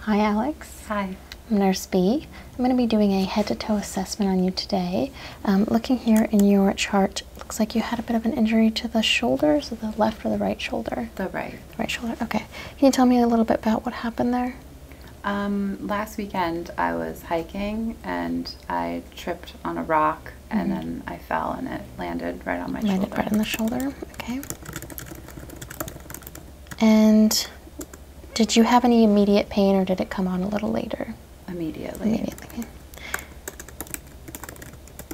Hi Alex. Hi. I'm Nurse B. I'm going to be doing a head to toe assessment on you today. Um, looking here in your chart, looks like you had a bit of an injury to the shoulder, so the left or the right shoulder? The right. right shoulder, okay. Can you tell me a little bit about what happened there? Um, last weekend I was hiking and I tripped on a rock and then I fell and it landed right on my landed shoulder. right on the shoulder. Okay. And did you have any immediate pain or did it come on a little later? Immediately. Immediately.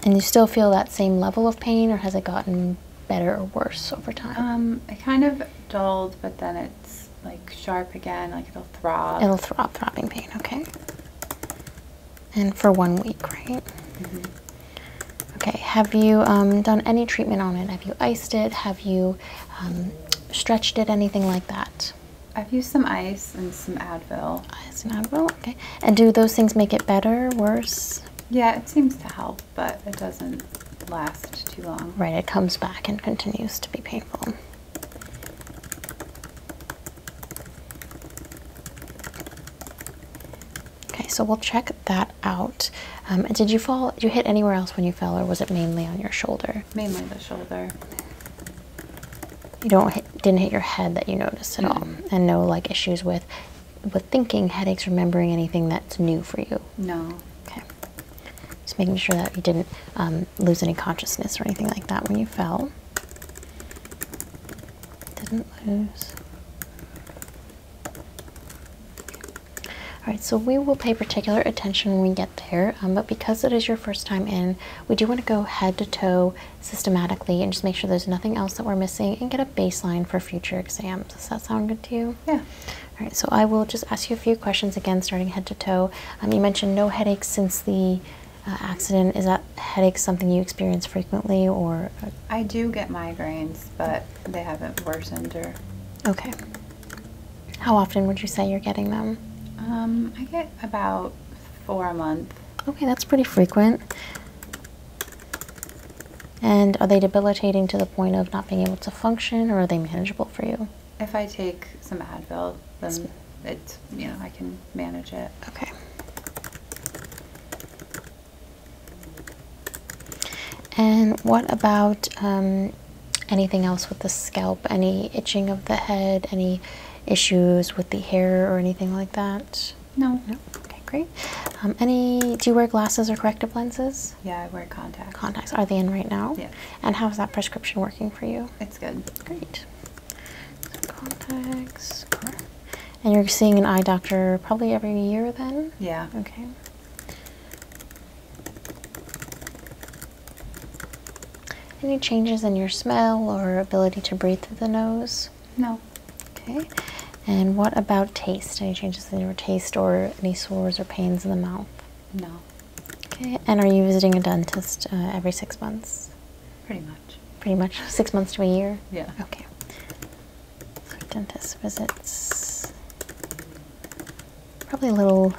And you still feel that same level of pain or has it gotten better or worse over time? Um, it kind of dulled, but then it's like sharp again, like it'll throb. It'll throb, throbbing pain, okay. And for one week, right? Mm-hmm. Okay, have you um, done any treatment on it? Have you iced it? Have you um, stretched it? Anything like that? I've used some ice and some Advil. Ice and Advil, okay. And do those things make it better, or worse? Yeah, it seems to help, but it doesn't last too long. Right, it comes back and continues to be painful. Okay, so we'll check that out. Um, did you fall? you hit anywhere else when you fell, or was it mainly on your shoulder? Mainly the shoulder. You don't hit, didn't hit your head that you noticed at all, and no like issues with with thinking, headaches, remembering anything that's new for you. No. Okay. Just making sure that you didn't um, lose any consciousness or anything like that when you fell. Didn't lose. Alright, so we will pay particular attention when we get there, um, but because it is your first time in, we do want to go head to toe systematically and just make sure there's nothing else that we're missing and get a baseline for future exams. Does that sound good to you? Yeah. Alright, so I will just ask you a few questions again, starting head to toe. Um, you mentioned no headaches since the uh, accident? Is that headache something you experience frequently, or? Uh, I do get migraines, but they haven't worsened or. Okay. How often would you say you're getting them? Um, I get about four a month. Okay, that's pretty frequent. And are they debilitating to the point of not being able to function, or are they manageable for you? If I take some Advil, then it, you know, I can manage it. Okay. And what about um, anything else with the scalp? Any itching of the head? Any issues with the hair or anything like that? No. No. Okay, great. Um, any? Do you wear glasses or corrective lenses? Yeah, I wear contacts. Contacts. Are they in right now? Yeah. And how is that prescription working for you? It's good. Great. And you're seeing an eye doctor probably every year then? Yeah. Okay. Any changes in your smell or ability to breathe through the nose? No. Okay. And what about taste? Any changes in your taste or any sores or pains in the mouth? No. Okay. And are you visiting a dentist uh, every six months? Pretty much. Pretty much six months to a year? Yeah. Okay. dentist visits, probably a little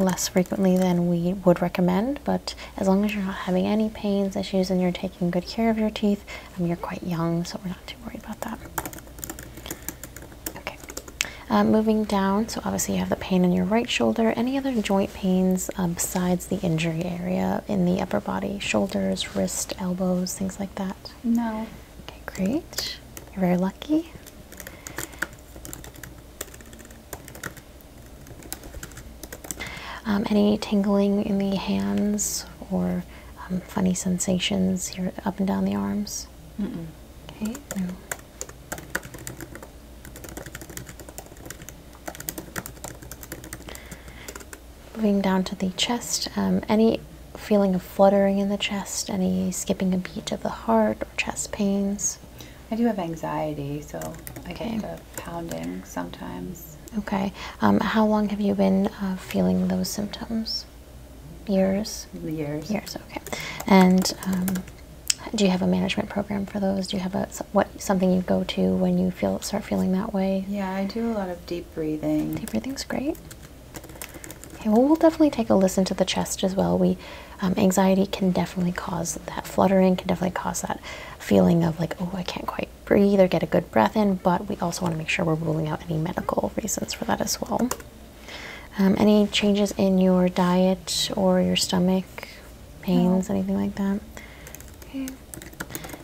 less frequently than we would recommend, but as long as you're not having any pains, issues, and you're taking good care of your teeth, um, you're quite young, so we're not too worried about that. Okay, uh, moving down, so obviously you have the pain in your right shoulder. Any other joint pains uh, besides the injury area in the upper body, shoulders, wrist, elbows, things like that? No. Okay, great. You're very lucky. Um, any tingling in the hands or um, funny sensations here up and down the arms? Mm Okay. Moving down to the chest, um, any feeling of fluttering in the chest, any skipping a beat of the heart or chest pains? I do have anxiety, so I get the pounding sometimes. Okay. Um, how long have you been uh, feeling those symptoms? Years? Years. Years, okay. And um, do you have a management program for those? Do you have a what something you go to when you feel start feeling that way? Yeah, I do a lot of deep breathing. Deep breathing's great. Okay, well, we'll definitely take a listen to the chest as well. We um, anxiety can definitely cause that fluttering, can definitely cause that feeling of like, oh, I can't quite breathe or get a good breath in. But we also want to make sure we're ruling out any medical reasons for that as well. Um, any changes in your diet or your stomach? pains, oh. anything like that? Okay.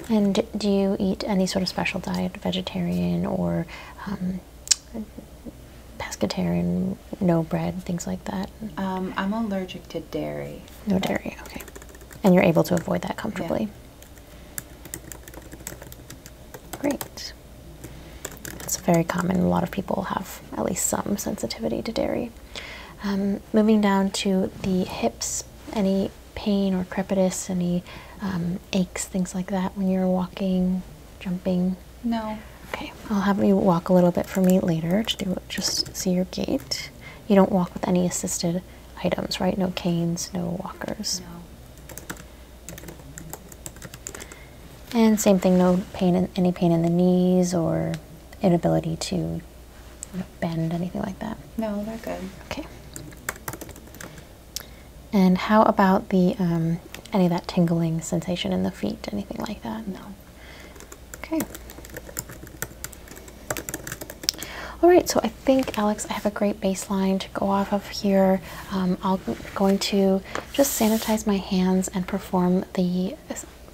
And do you eat any sort of special diet, vegetarian or um, pescatarian, no bread, things like that? Um, I'm allergic to dairy. No dairy, okay. And you're able to avoid that comfortably? Yeah. Great. It's very common. A lot of people have at least some sensitivity to dairy. Um, moving down to the hips, any pain or crepitus, any um, aches, things like that when you're walking, jumping? No. Okay, I'll have you walk a little bit for me later to do, just see your gait. You don't walk with any assisted items, right? No canes, no walkers. No. And same thing, no pain, in, any pain in the knees or inability to bend, anything like that? No, they're good. Okay. And how about the um, any of that tingling sensation in the feet, anything like that? No. Okay. All right, so I think, Alex, I have a great baseline to go off of here. Um, I'm going to just sanitize my hands and perform the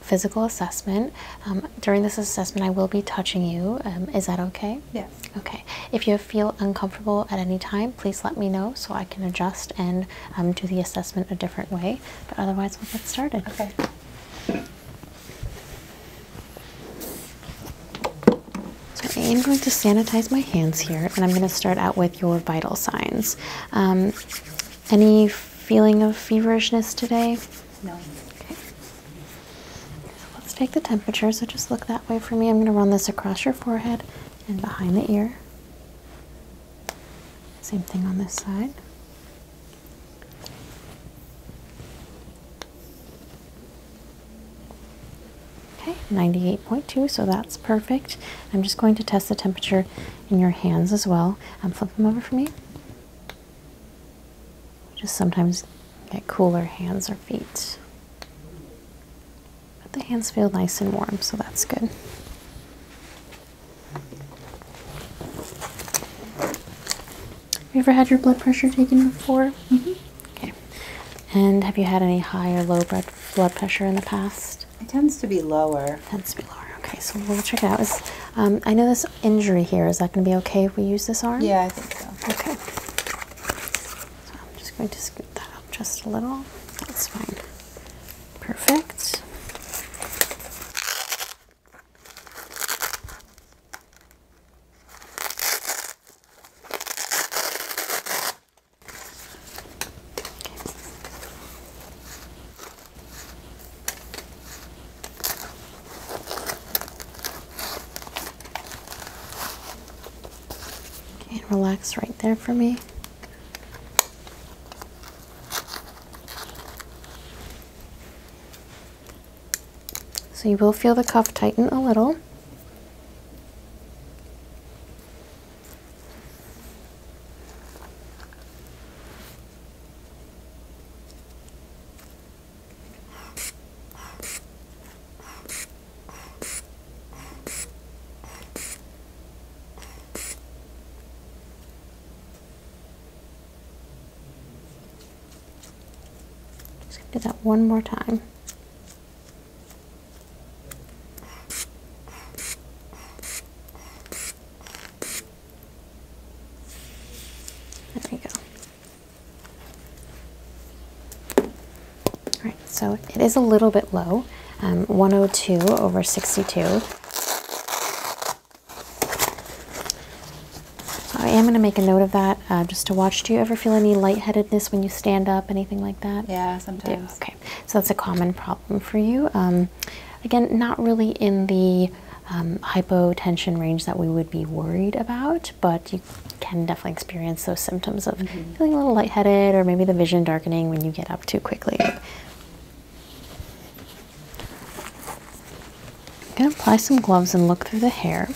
physical assessment. Um, during this assessment, I will be touching you. Um, is that okay? Yes. Okay. If you feel uncomfortable at any time, please let me know so I can adjust and um, do the assessment a different way. But otherwise, we'll get started. Okay. So I am going to sanitize my hands here, and I'm going to start out with your vital signs. any feeling of feverishness today? Okay. So let's take the temperature. So just look that way for me. I'm going to run this across your forehead and behind the ear. Same thing on this side. Okay, 98.2, so that's perfect. I'm just going to test the temperature in your hands as well. Um, flip them over for me. Just sometimes get cooler hands or feet. But the hands feel nice and warm, so that's good. Have you ever had your blood pressure taken before? Mm-hmm. Okay. And have you had any high or low blood pressure in the past? It tends to be lower below. be below. Okay, so we'll check it out. Um, I know this injury here. Is that going to be okay if we use this arm? Yeah, I think so. Okay. So I'm just going to scoot that up just a little. That's fine. Perfect. Okay, relax right there for me. So you will feel the cuff tighten a little. Just do that one more time. There we go. All right, so it is a little bit low, um, 102 over 62. I am going to make a note of that uh, just to watch. Do you ever feel any lightheadedness when you stand up, anything like that? Yeah, sometimes. Okay, so that's a common problem for you. Um, um, again, not really in the um, hypotension range that we would be worried about, but you can definitely experience those symptoms of mm-hmm. feeling a little lightheaded or maybe the vision darkening when you get up too quickly. I'm going to apply some gloves and look through the hair.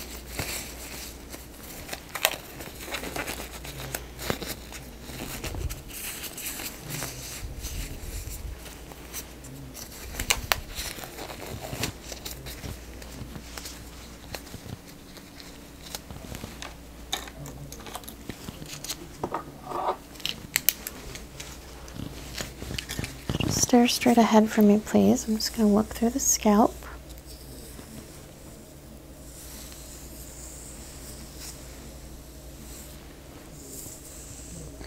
Just stare straight ahead for me, please. I'm just going to look through the scalp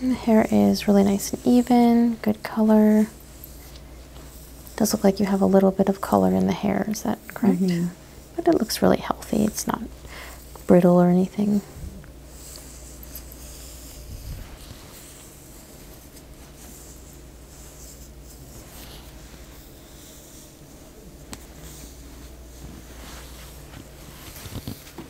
the hair is really nice and even, good color. does look like you have a little bit of color in the hair, is that correct? Mm But it looks really healthy. It's not brittle or anything.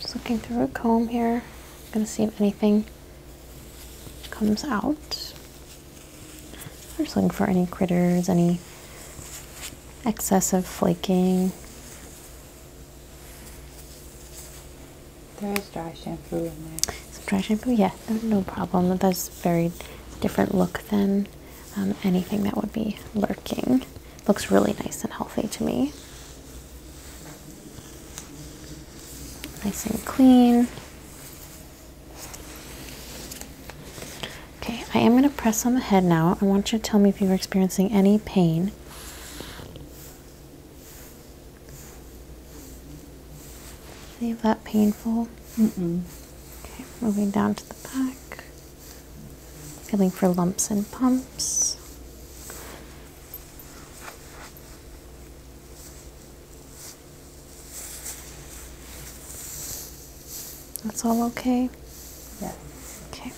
Just looking through a comb here. going to see if anything comes out. I'm just looking for any critters, any excessive flaking. There is dry shampoo in there. Some dry shampoo, yeah, no problem. That's very different look than um, anything that would be lurking. Looks really nice and healthy to me. Nice and clean. Okay, I am going to press on the head now. I want you to tell me if you're experiencing any pain. Any that painful? Okay, moving down to the back. Feeling for lumps and bumps. That's all okay? Yeah. Okay.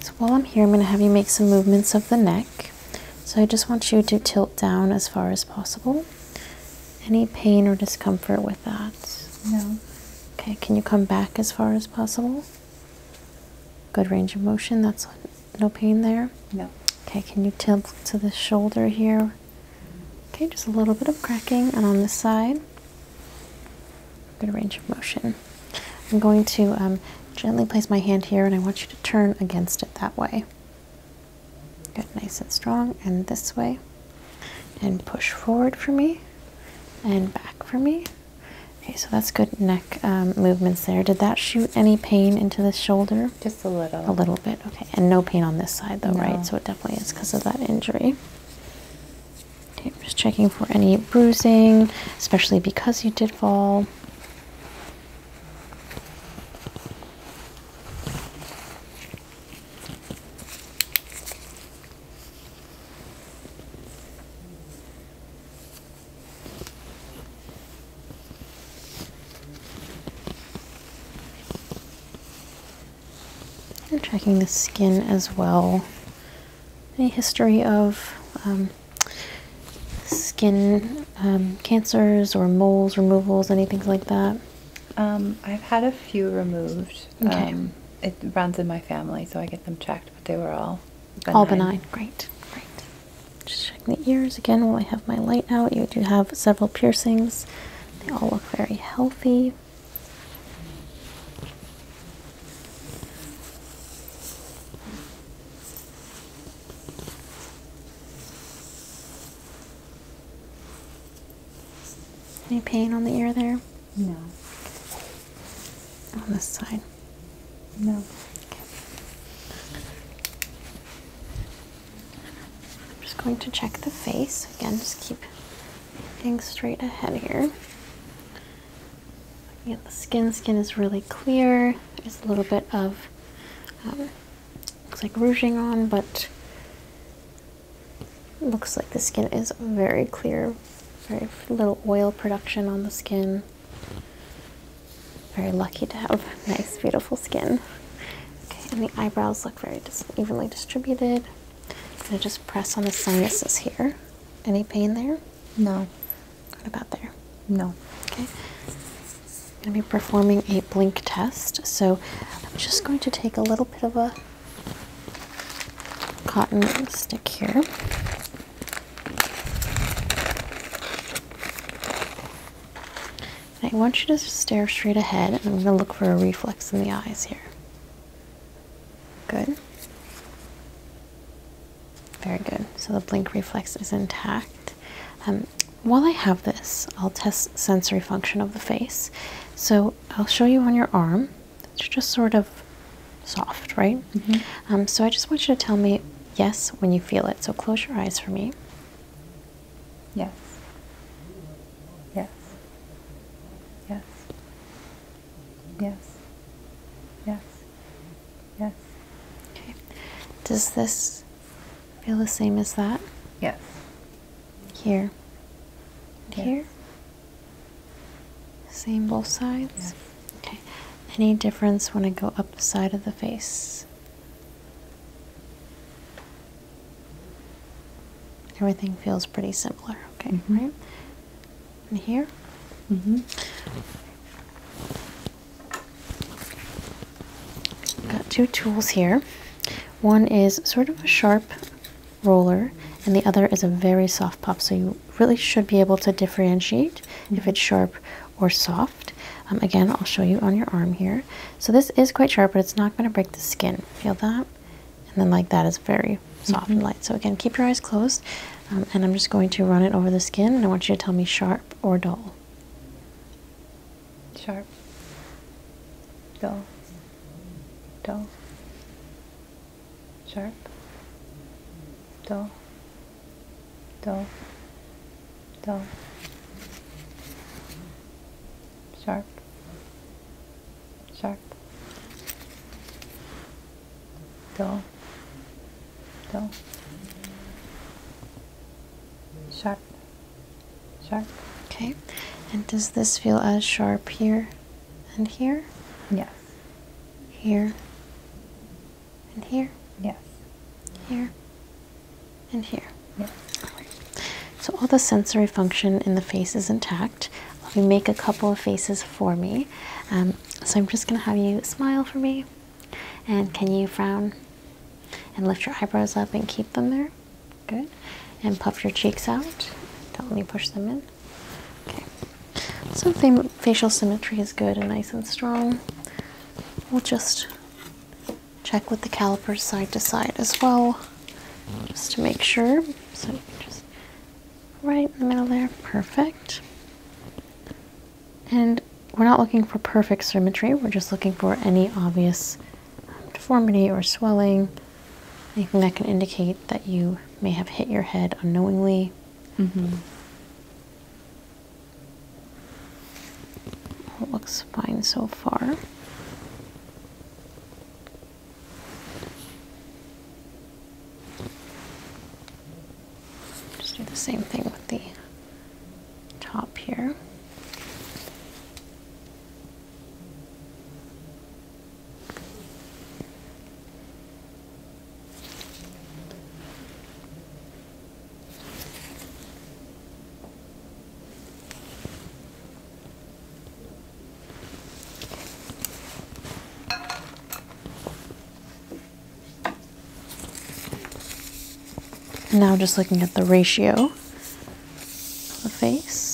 So while I'm here, I'm going to have you make some movements of the neck. So I just want you to tilt down as far as possible. Any pain or discomfort with that? No. Okay, can you come back as far as possible? Good range of motion, that's no pain there? No. Okay, can you tilt to the shoulder here? Okay, just a little bit of cracking, and on this side, good range of motion. I'm going to um, gently place my hand here, and I want you to turn against it that way. Get nice and strong and this way. And push forward for me and back for me. Okay, so that's good neck um, movements there. Did that shoot any pain into the shoulder? Just a little. A little bit, okay. And no pain on this side though, right? So it definitely is because of that injury. just checking for any bruising, especially because you did fall. And checking the skin as well. Any history of um, skin um, cancers or moles removals, anything like that? Um, I've had a few removed. Okay. Um, it runs in my family, so I get them checked, but they were all All benign. Great. Great. Just checking the ears again while I have my light out. You do have several piercings. They all look very healthy. Any pain on the ear there? No. On this side? No. I'm just going to check the face. Again, just keep looking straight ahead here. Looking the skin. Skin is really clear. There's a little bit of uh, looks like rouging on, but looks like the skin is very clear. Very little oil production on the skin. Very lucky to have nice, beautiful skin. Okay, and the eyebrows look very evenly distributed. I'm gonna just press on the sinuses here. Any pain there? No. Not about there. No. Okay. I'm going to be performing a blink test. So I'm just going to take a little bit of a cotton stick here. I want you to stare straight ahead and I'm going to look for a reflex in the eyes here. Good. Very good. So the blink reflex is intact. Um, while I have this, I'll test sensory function of the face. So I'll show you on your arm. It's just sort of soft, right? Mm -hmm. so I just want you to tell me yes when you feel it. So close your eyes for me. Yes. Yes. Yes. Yes. Yes. Yes. Okay. Does this Feel the same as that? Yes. Here. Here? Same both sides? Okay. Any difference when I go up the side of the face? Everything feels pretty similar, okay, mm-hmm. right? And here? hmm Got two tools here. One is sort of a sharp roller and the other is a very soft puff. so you really should be able to differentiate if it's sharp or soft. Um, again, I'll show you on your arm here. So this is quite sharp, but it's not going to break the skin. Feel that? And then like that is very soft and mm-hmm. light. So again, keep your eyes closed. Um, and I'm just going to run it over the skin, and I want you to tell me sharp or dull sharp, dull, dull, sharp, dull, dull, dull, sharp, sharp, dull, so sharp, sharp. Okay, and does this feel as sharp here and here? Yes. Here and here? Yes. Here and here? Yes. So all the sensory function in the face is intact. Let me make a couple of faces for me. Um, so I'm just going to have you smile for me. And can you frown and lift your eyebrows up and keep them there? Good. And puff your cheeks out. Don't let me push them in. Okay. So facial symmetry is good and nice and strong. We'll just check with the calipers side to side as well, just to make sure. So just right in the middle there. Perfect. And we're not looking for perfect symmetry, we're just looking for any obvious um, deformity or swelling, anything that can indicate that you may have hit your head unknowingly. Mm-hmm. looks fine so far. Just do the same thing with the top here. Now just looking at the ratio of the face.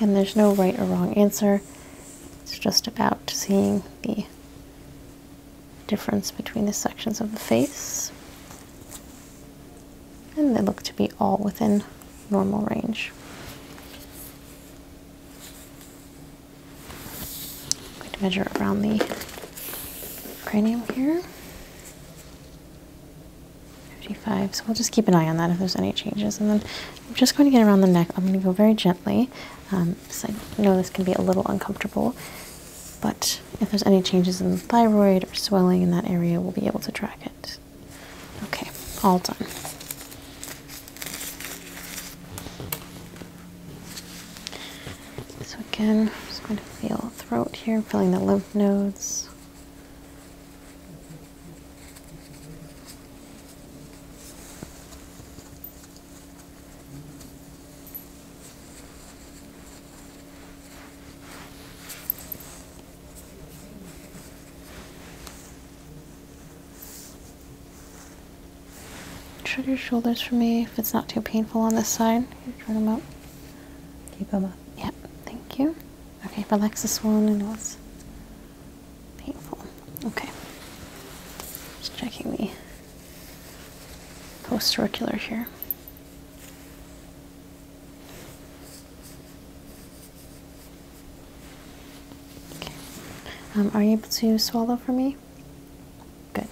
and there's no right or wrong answer. It's just about seeing the difference between the sections of the face. And they look to be all within normal range. I'm going to measure around the cranium here. 55. So we'll just keep an eye on that if there's any changes. And then I'm just going to get around the neck. I'm going to go very gently. Um, so I know this can be a little uncomfortable, but if there's any changes in the thyroid or swelling in that area, we'll be able to track it. Okay, all done. So again, I'm just going to feel throat here, feeling the lymph nodes. Shut your shoulders for me if it's not too painful on this side. Turn them up. Keep them up. Yep. thank you. Okay, relax the one. I know it's painful. Okay. Just checking the posterricular here. Okay. Um, are you able to swallow for me? Good.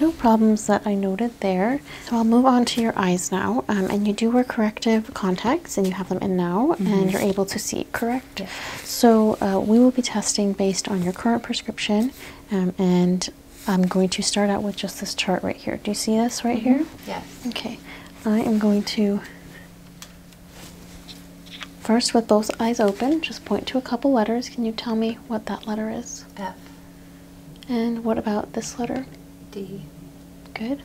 no problems that I noted there. So I'll move on to your eyes now. Um, and you do wear corrective contacts, and you have them in now, mm-hmm. and you're able to see, correct? So uh, we will be testing based on your current prescription, um, and I'm going to start out with just this chart right here. Do you see this right here? Mm-hmm. Yes. Okay. I am going to First, with both eyes open, just point to a couple letters. Can you tell me what that letter is? F. And what about this letter? D. Good.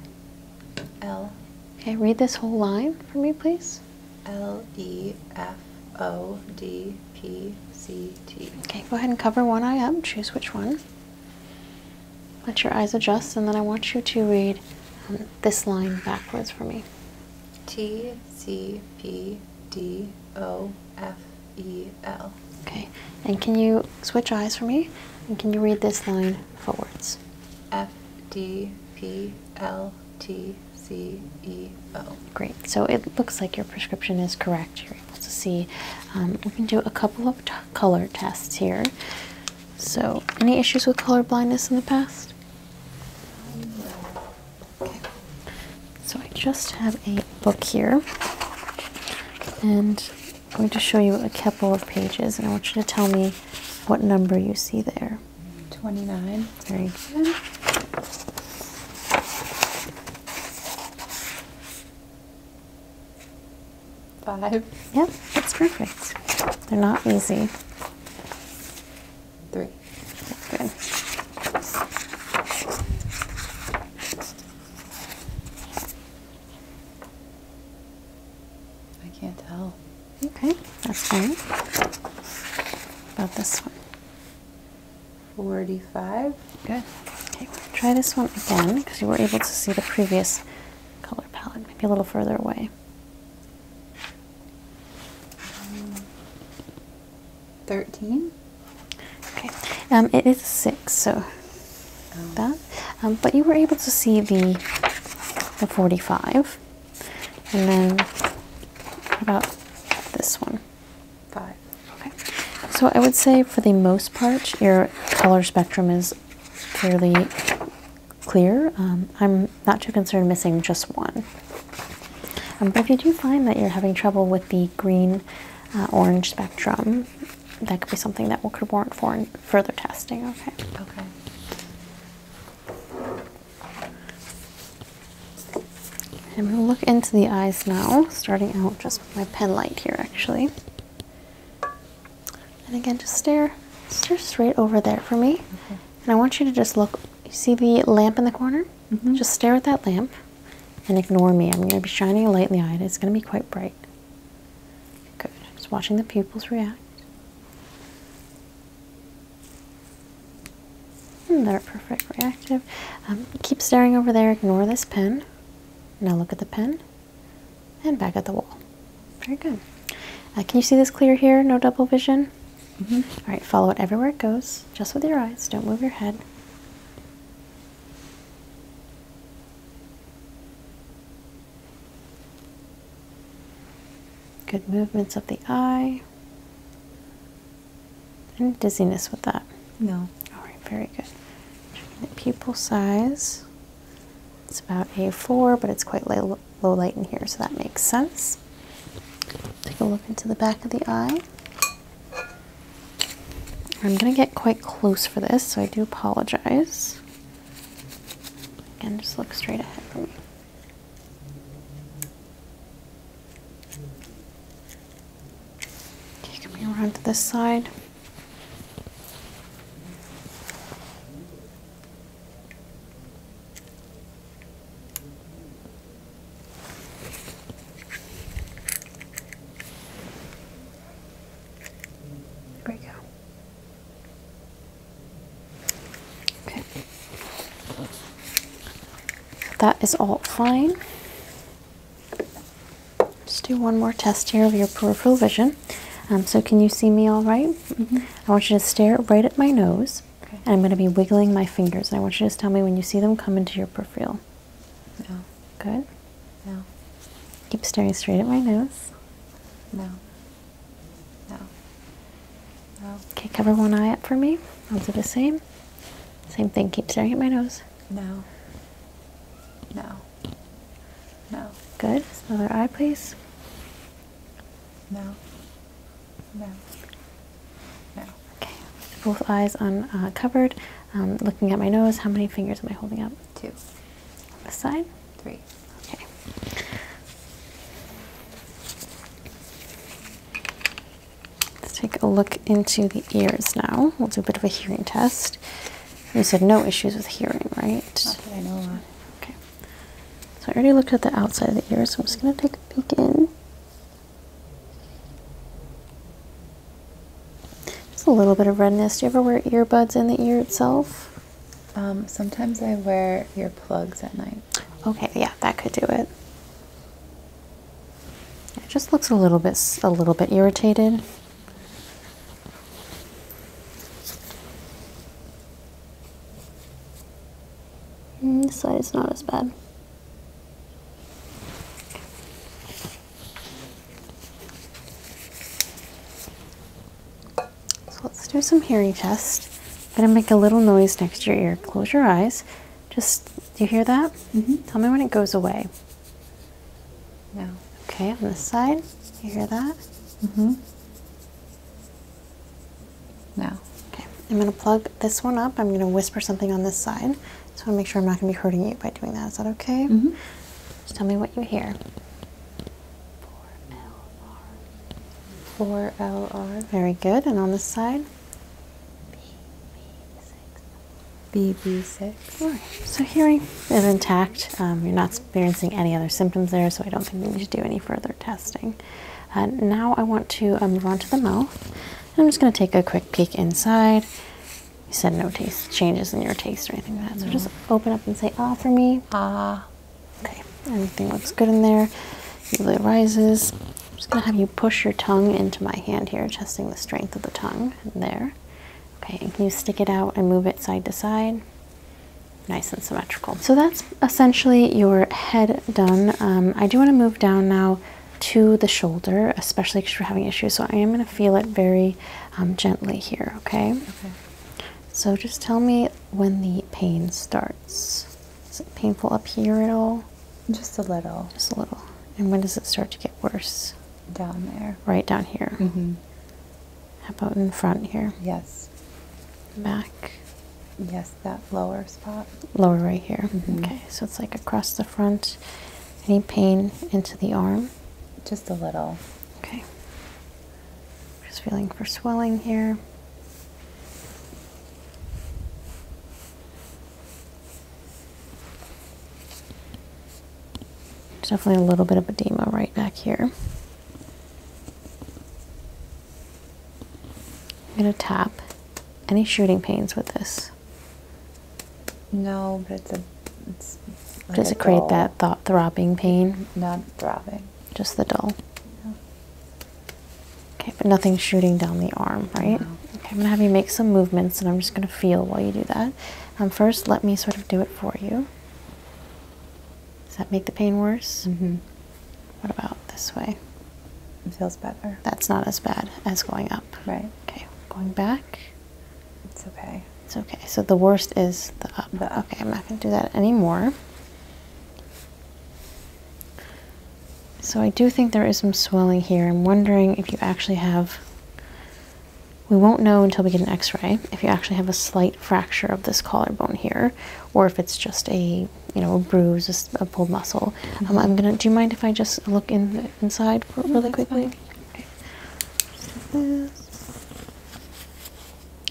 L. Okay, read this whole line for me, please. L E F O D P C T. Okay, go ahead and cover one eye up. Choose which one. Let your eyes adjust, and then I want you to read um, this line backwards for me. T C P D O F E L. Okay, and can you switch eyes for me? And can you read this line forwards? F D P L T C E O. Great, so it looks like your prescription is correct. You're able to see. Um, we can do a couple of color tests here. So, any issues with color blindness in the past? So I just have a book here, and I'm going to show you a couple of pages, and I want you to tell me what number you see there. 29. Very good. Five. Yep, that's perfect. They're not easy three. Okay. I can't tell. Okay, that's fine. About this one. 45. Good. Okay, try this one again because you were able to see the previous color palette, maybe a little further away. Thirteen. Okay. Um, it is six, so oh. that. Um, but you were able to see the the forty-five, and then what about this one? Five. Okay. So I would say, for the most part, your color spectrum is fairly clear. Um, I'm not too concerned missing just one. Um, but if you do find that you're having trouble with the green uh, orange spectrum, that could be something that could warrant for further testing. Okay. Okay. I'm going to look into the eyes now, starting out just with my pen light here actually. And again, just stare, stare straight over there for me. And I want you to just look, see the lamp in the corner? Mm-hmm. Just stare at that lamp and ignore me. I'm going to be shining a light in the eye it's going to be quite bright. Good. Just watching the pupils react. And hmm, they're perfect, reactive. Um, keep staring over there, ignore this pen. Now look at the pen and back at the wall. Very good. Uh, can you see this clear here? No double vision? Mm-hmm. All right, follow it everywhere it goes, just with your eyes. Don't move your head. Good movements of the eye. Any dizziness with that? No. All right, very good. Checking pupil size. It's about A4, but it's quite low, light in here, so that makes sense. Take a look into the back of the eye. I'm going to get quite close for this, so I do apologize. And just look straight ahead for me. around to this side. There we go. Okay. That is all fine. Let's do one more test here of your peripheral vision. Um, so, can you see me all right? Mm-hmm. I want you to stare right at my nose. I'm going to be wiggling my fingers. And I want you to tell me when you see them come into your peripheral. No. Good? No. Keep staring straight at my nose. No. No. No. Okay, cover one eye up for me. I'll do the same. Same thing. Keep staring at my nose. No. No. No. Good. Just another eye, please. No. No. No. Okay. Both eyes uncovered. Uh, um, looking at my nose. How many fingers am I holding up? Two. On this side. Three. Okay. Let's take a look into the ears now. We'll do a bit of a hearing test. You said no issues with hearing, right? Okay. So I already looked at the outside of the ear, so I'm just going to take a peek in. Just a little bit of redness. Do you ever wear earbuds in the ear itself? Um, sometimes I wear earplugs at night. Okay, yeah, that could do it. It just looks a little bit a little bit irritated. Mm, this side is not as bad. So let's do some hearing test. gonna make a little noise next to your ear. Close your eyes. Just, do you hear that? Mm-hmm. Tell me when it goes away. No. Okay, on this side, you hear that? hmm no. Okay. I'm going to plug this one up. I'm going to whisper something on this side. Just want to make sure I'm not going to be hurting you by doing that. Is that okay? Mm-hmm. Just tell me what you hear. 4LR. 4LR. Very good. And on this side? BB6. Right. So hearing is intact. Um, you're not experiencing any other symptoms there, so I don't think we need to do any further testing. Uh, now I want to uh, move on to the mouth. I'm just going to take a quick peek inside. You said no taste changes in your taste or anything like that. So just open up and say ah for me. Ah. Okay. Everything looks good in there. Usually rises. I'm just going to have you push your tongue into my hand here, testing the strength of the tongue. There. Okay. can you stick it out and move it side to side? nice and symmetrical. So that's essentially your head done. Um, I do want to move down now to the shoulder, especially because you're having issues. So I am going to feel it very um, gently here, okay? Okay. So just tell me when the pain starts. Is it painful up here at all? Just a little. Just a little. And when does it start to get worse? Down there. Right down here. hmm How about in front here? Yes. Back. Yes that lower spot? Lower right here. Mm-hmm. Okay, so it's like across the front. Any pain into the arm? Just a little. Okay. Just feeling for swelling here. definitely a little bit of edema right back here. I'm going to tap any shooting pains with this. No, but it's a. It's Does it create that throbbing pain? Not throbbing. Just the dull. Okay, but nothing shooting down the arm, right? Okay, I'm going to have you make some movements and I'm just going to feel while you do that. Um, first, let me sort of do it for you. Does that make the pain worse? Mm-hmm. What about this way? It feels better. That's not as bad as going up. Right. Okay. Going back. It's okay. It's okay. So the worst is the up. The up. Okay, I'm not going to do that anymore. So I do think there is some swelling here. I'm wondering if you actually have, we won't know until we get an x-ray, if you actually have a slight fracture of this collarbone here, or if it's just a you know, a bruise, a, pulled muscle. Um, I'm gonna. Do you mind if I just look in inside really quickly?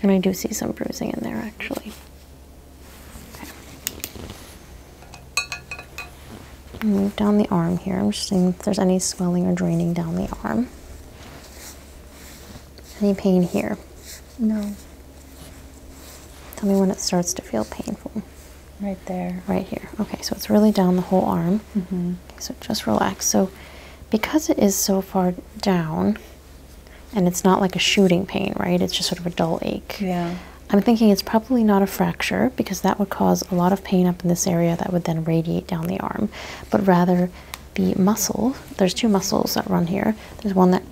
And I do see some bruising in there, actually. Move down the arm here. I'm just seeing if there's any swelling or draining down the arm. Any pain here? No. Tell me when it starts to feel painful. Right there. Right here. Okay, so it's really down the whole arm. Mm -hmm. so just relax. So, because it is so far down, and it's not like a shooting pain, right? It's just sort of a dull ache. Yeah. I'm thinking it's probably not a fracture because that would cause a lot of pain up in this area that would then radiate down the arm, but rather the muscle. There's two muscles that run here. There's one that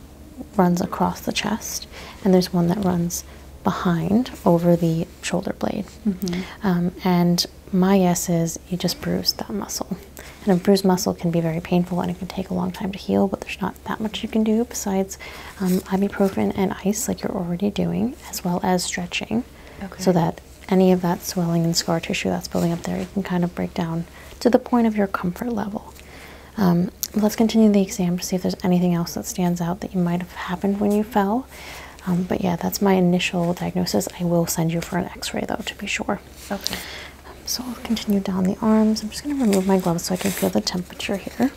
runs across the chest, and there's one that runs behind over the shoulder blade. Mm-hmm. Um, and my guess is you just bruise that muscle. And a bruised muscle can be very painful and it can take a long time to heal, but there's not that much you can do besides um, ibuprofen and ice, like you're already doing, as well as stretching, so that any of that swelling and scar tissue that's building up there, you can kind of break down to the point of your comfort level. Um, um, let's continue the exam to see if there's anything else that stands out that might have happened when you fell. Um, but yeah, that's my initial diagnosis. I will send you for an x-ray though to be sure. Okay. so I'll continue down the arms. I'm just going to remove my gloves so I can feel the temperature here.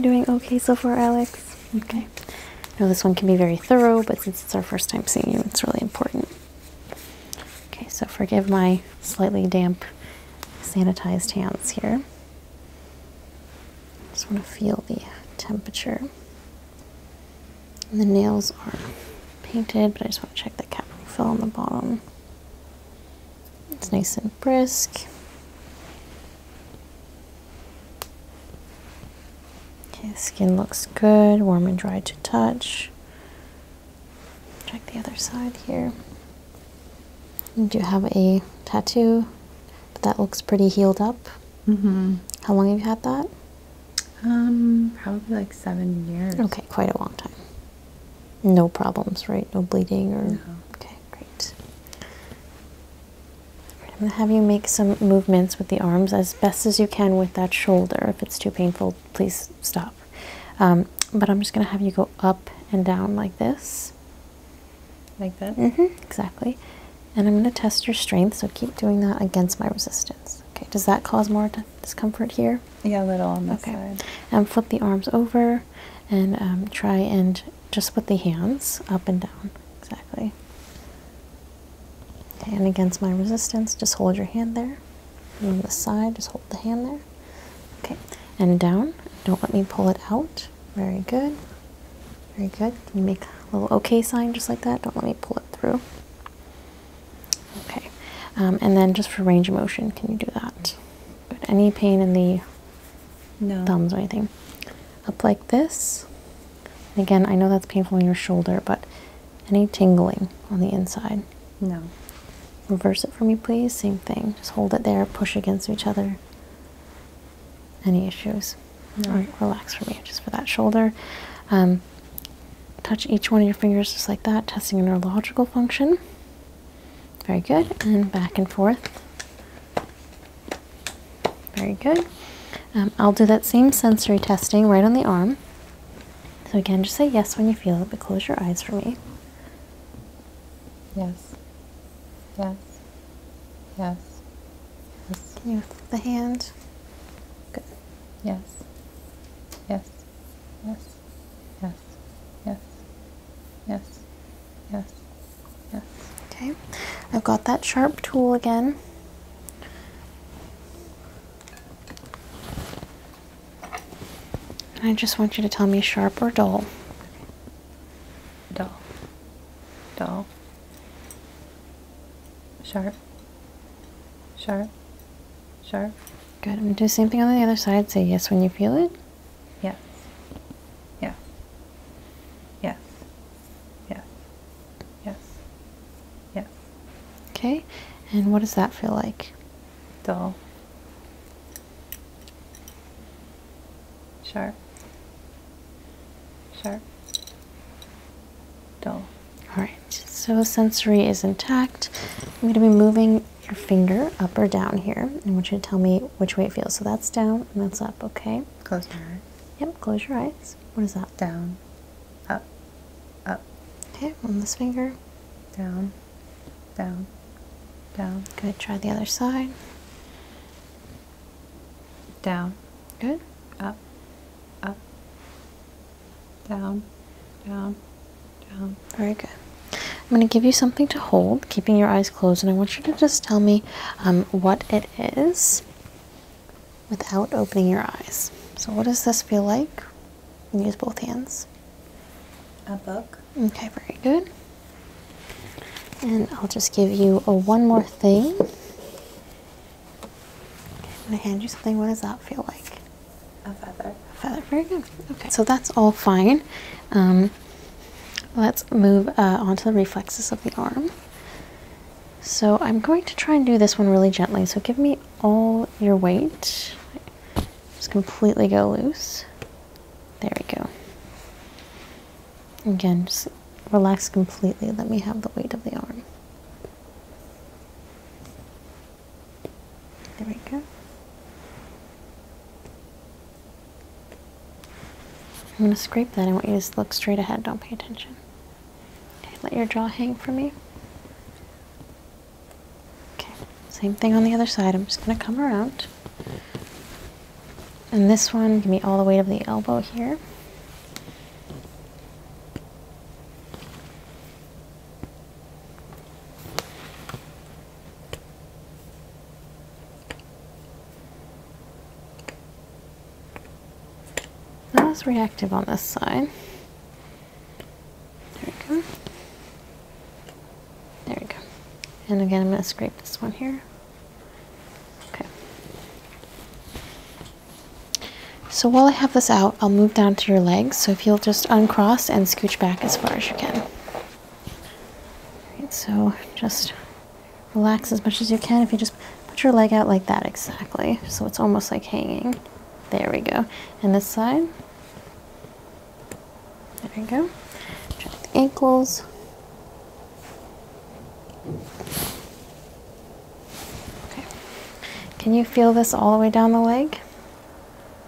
Doing okay so far, Alex? Okay. I know this one can be very thorough, but since it's our first time seeing you, it's really important. Okay, so forgive my slightly damp, sanitized hands here. I just want to feel the temperature. the nails are painted, but I just want to check the cavity fill on the bottom. It's nice and brisk. His skin looks good, warm and dry to touch. Check the other side here. You do have a tattoo, but that looks pretty healed up. Mm -hmm. How long have you had that? Um, probably like seven years. Okay, quite a long time. No problems, right? No bleeding or. Okay, great. I'm going to have you make some movements with the arms as best as you can with that shoulder. If it's too painful, please stop. Um, but I'm just going to have you go up and down like this. Like that? hmm, exactly. And I'm going to test your strength, so keep doing that against my resistance. Okay, does that cause more discomfort here? Yeah, a little on this okay. And flip the arms over and um, try and just put the hands up and down. Exactly and against my resistance just hold your hand there on the side just hold the hand there okay and down don't let me pull it out very good very good you make a little okay sign just like that don't let me pull it through okay um, and then just for range of motion can you do that any pain in the thumbs or anything up like this again, I know that's painful in your shoulder, but any tingling on the inside? No. Reverse it for me, please. Same thing. Just hold it there, push against each other. Any issues? No. relax for me, just for that shoulder. Um, touch each one of your fingers just like that, testing a neurological function. Very good. And back and forth. Very good. Um, I'll do that same sensory testing right on the arm. So again, just say yes when you feel it, but close your eyes for me. Yes. Yes. Yes. Yes. Can you lift the hand? Good. Yes. Yes. Yes. Yes. Yes. Yes. Yes. Yes. Okay. I've got that sharp tool again. I just want you to tell me sharp or dull. Dull. Dull. Sharp. Sharp. Sharp. Good. I'm going to do the same thing on the other side. Say yes when you feel it. Yes. Yes. Yes. Yeah. Yes. Yeah. Okay. And what does that feel like? Dull. Sharp. Sharp. Dull. All right. So sensory is intact. I'm going to be moving your finger up or down here. I want you to tell me which way it feels. So that's down and that's up, okay? Close your eyes. Yep, close your eyes. What is that? Down, up, up. Okay, on this finger, down, down, down. Good, try the other side. Down, good, up, up, down, down, down. Very good. I'm going to give you something to hold, keeping your eyes closed, and I want you to just tell me um, what it is without opening your eyes. So, what does this feel like? use both hands. A book. Okay, very good. And I'll just give you a one more thing. I'm gonna hand you something. What does that feel like? A feather. A feather. Very good. Okay. So that's all fine. Um, let's move uh, on to the reflexes of the arm. So I'm going to try and do this one really gently. So give me all your weight. Just completely go loose. There we go. Again, just relax completely. Let me have the weight of the arm. There we go. I'm going to scrape that. I want you to look straight ahead. Don't pay attention let your jaw hang for me. Okay, same thing on the other side. I'm just going to come around. And this one, give me all the weight of the elbow here. That was reactive on this side. There we go. There we go. And again, I'm going to scrape this one here. Okay. So while I have this out, I'll move down to your legs. So if you'll just uncross and scooch back as far as you can. Right, so just relax as much as you can. If you just Put your leg out like that exactly, so it's almost like hanging. There we go. And this side. There we go. Check the ankles. Okay. Can you feel this all the way down the leg?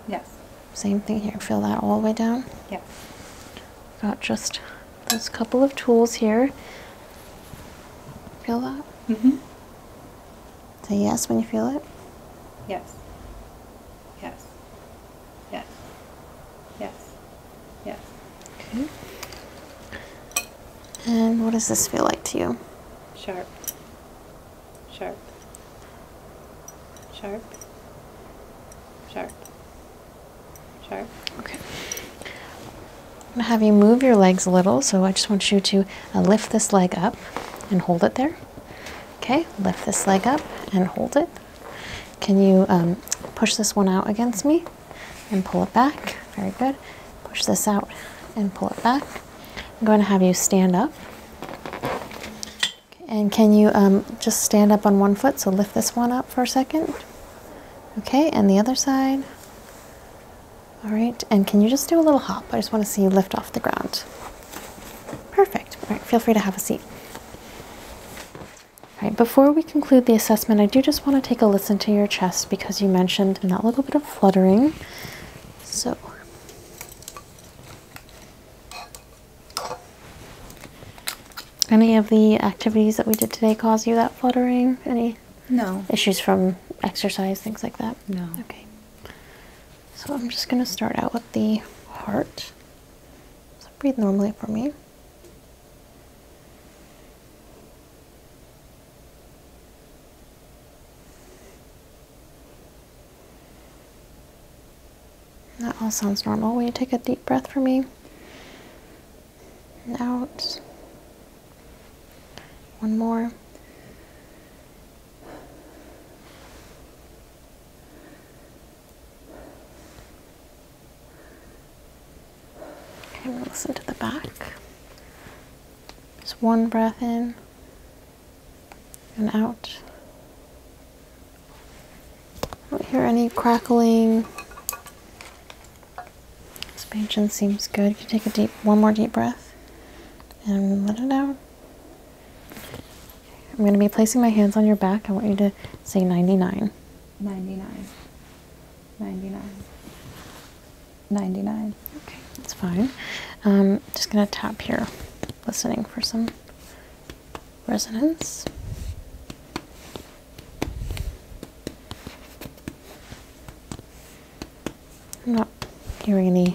Yes. Same thing here. Feel that all the way down? Yes. Got just those couple of tools here. Feel that? Mm-hmm. Say yes when you feel it. Yes. Yes. Yes. Yes. Yes. Okay. And what does this feel like to you? Sharp. Sharp. Sharp. Sharp. Sharp. Okay. I'm going to have you move your legs a little, so I just want you to uh, lift this leg up and hold it there. Okay, lift this leg up and hold it. Can you um, push this one out against me and pull it back? Very good. Push this out and pull it back. I'm going to have you stand up. and can you um, just stand up on one foot? So lift this one up for a second. Okay, and the other side. All right, and can you just do a little hop? I just want to see you lift off the ground. Perfect. All right, feel free to have a seat. All right, before we conclude the assessment, I do just want to take a listen to your chest because you mentioned that little bit of fluttering. So, any of the activities that we did today cause you that fluttering? Any no issues from exercise, things like that? No. Okay. So I'm just going to start out with the heart. So breathe normally for me. That all sounds normal. Will you take a deep breath for me? And out. One more. Okay, we'll listen to the back. Just one breath in and out. don't hear any crackling Expansion seems good. You can take a deep, one more deep breath and let it out. I'm going to be placing my hands on your back. I want you to say 99. 99. 99. 99. Okay, that's fine. Um, just going to tap here, listening for some resonance. I'm not hearing any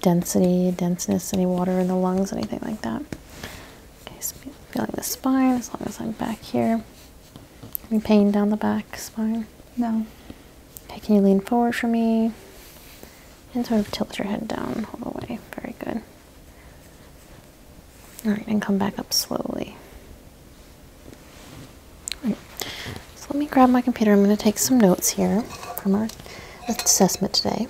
density, denseness, any water in the lungs, anything like that. Okay, so feeling the spine as long as I'm back here. Any pain down the back spine? No. Okay, can you lean forward for me? And sort of tilt your head down all the way. Very good. Alright, and come back up slowly. Right. So let me grab my computer. I'm going to take some notes here from our assessment today.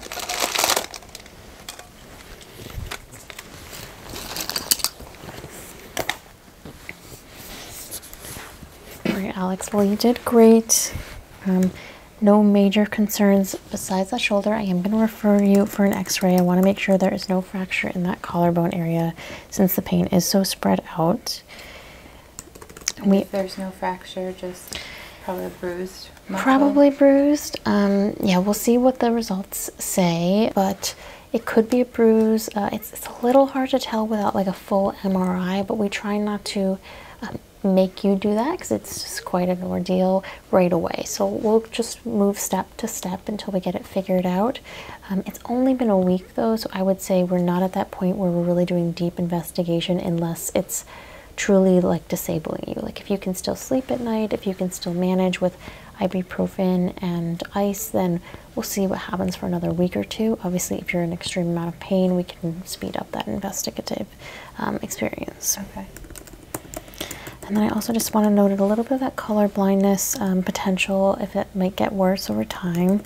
All right, Alex. Well, you did great. Um, no major concerns besides that shoulder. I am going to refer you for an x-ray. I want to make sure there is no fracture in that collarbone area since the pain is so spread out there's no fracture, just probably bruised. Probably bruised. Um, yeah, we'll see what the results say, but it could be a bruise. Uh, it's, a little hard to tell without like a full MRI, but we try not to um, make you do that because it's just quite an ordeal right away. So we'll just move step to step until we get it figured out. Um, it's only been a week make those, I would say we're not at that point where we're really doing deep investigation unless it's truly like disabling you. Like if you can still sleep at night, if you can still manage with ibuprofen and ice, then we'll see what happens for another week or two. Obviously, if you're in extreme amount of pain, we can speed up that investigative um, experience. Okay. And then I also just want to note a little bit of that color blindness um, potential if it might get worse over time.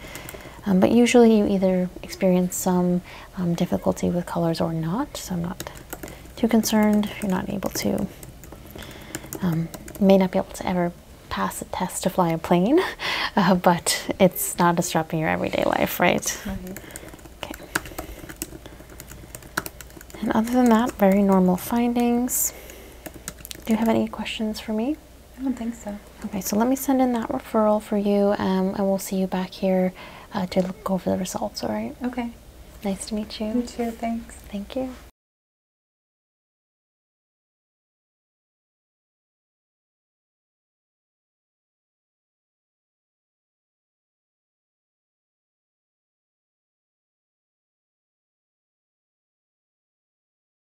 Um, but usually you either experience some um, difficulty with colors or not, so I'm not too concerned if you're not able to, um, may not be able to ever pass a test to fly a plane, uh, but it's not disrupting your everyday life, right? right? Okay. And other than that, very normal findings. Do you have any questions for me? I don't think so. Okay, so let me send in that referral for you, um, and we'll see you back here uh, to look over the results, all right? Okay. Nice to meet you. You too, thanks. Thank you.